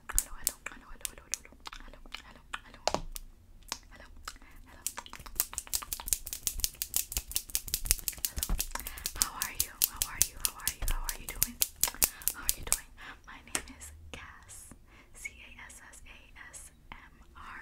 hello, hello, hello, hello, hello, hello, hello, hello, hello, hello, hello, hello, hello. How are you? How are you? How are you? How are you doing? How are you doing? My name is Cass. C A S S A S M R.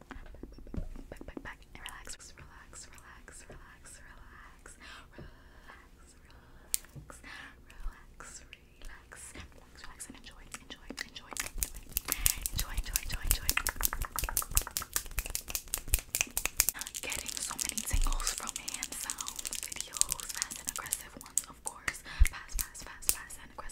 back, back, back, and relax, relax, relax, relax, relax, relax, relax, relax, relax, relax, relax, and enjoy, enjoy, enjoy, enjoy, enjoy, enjoy, enjoy. Getting so many tingles from hand sounds, videos, fast and aggressive ones, of course, fast, fast, fast, fast and aggressive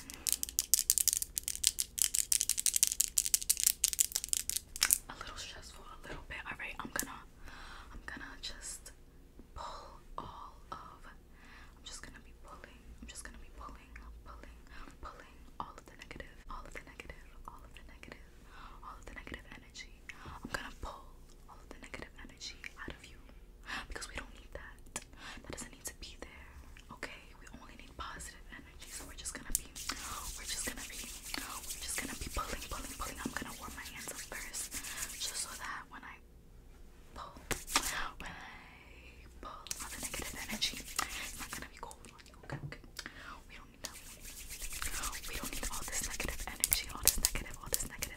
A little stressful, a little bit. Alright, I'm gonna I'm gonna just pull all of I'm just gonna be pulling. I'm just gonna be pulling, pulling, pulling all of the negative, all of the negative, all of the negative, all of the negative energy. I'm gonna pull, all of the negative energy out of you because we don't need that. That doesn't need to be there. Okay, we only need positive energy. So we're just gonna be, we're just gonna be, we're just gonna be pulling, pulling, pulling. I'm gonna warm my hands up first, just so that when I pull, when I pull all the negative energy, it's not gonna be cold Okay, okay. We don't need that. We don't need all this negative energy, all this negative, all this negative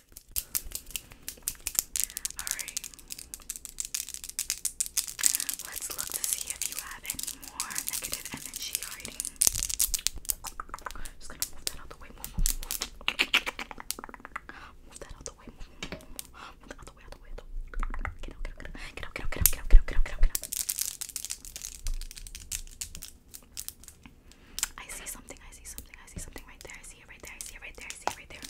Alright. Let's look to see if you have any more negative energy hiding. Just gonna move that out the way. Move, move, move. move that out the way. Move, move, move. Move that out the way, out the way. Out the way. Get out, get out, get out, get out, get out, get out, get out, get out, I see something, I see something, I see something right there. I see it right there, I see it right there, I see it right there.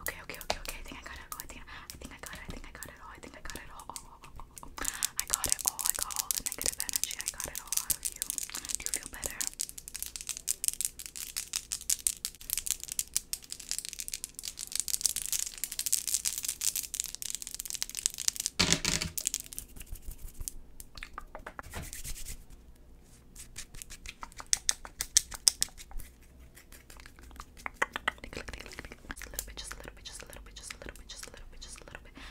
Okay, okay, okay, okay. I think I got it. Oh, I think I think I got it. I think I got it all. I think I got it all. Oh, oh, oh, oh. I got it all. I got all the negative energy. I got it all out of you. Do you feel better? Just a little bit, just a little bit, just a little bit, just a little bit, just a little bit, just a little bit.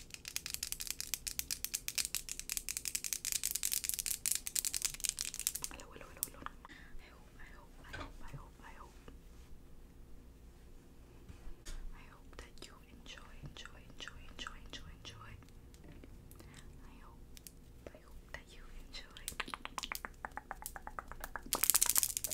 Hello, I hope, I hope, I hope, I hope, I hope. I hope that you enjoy, enjoy, enjoy, enjoy, enjoy, enjoy. I hope, I hope that you enjoy.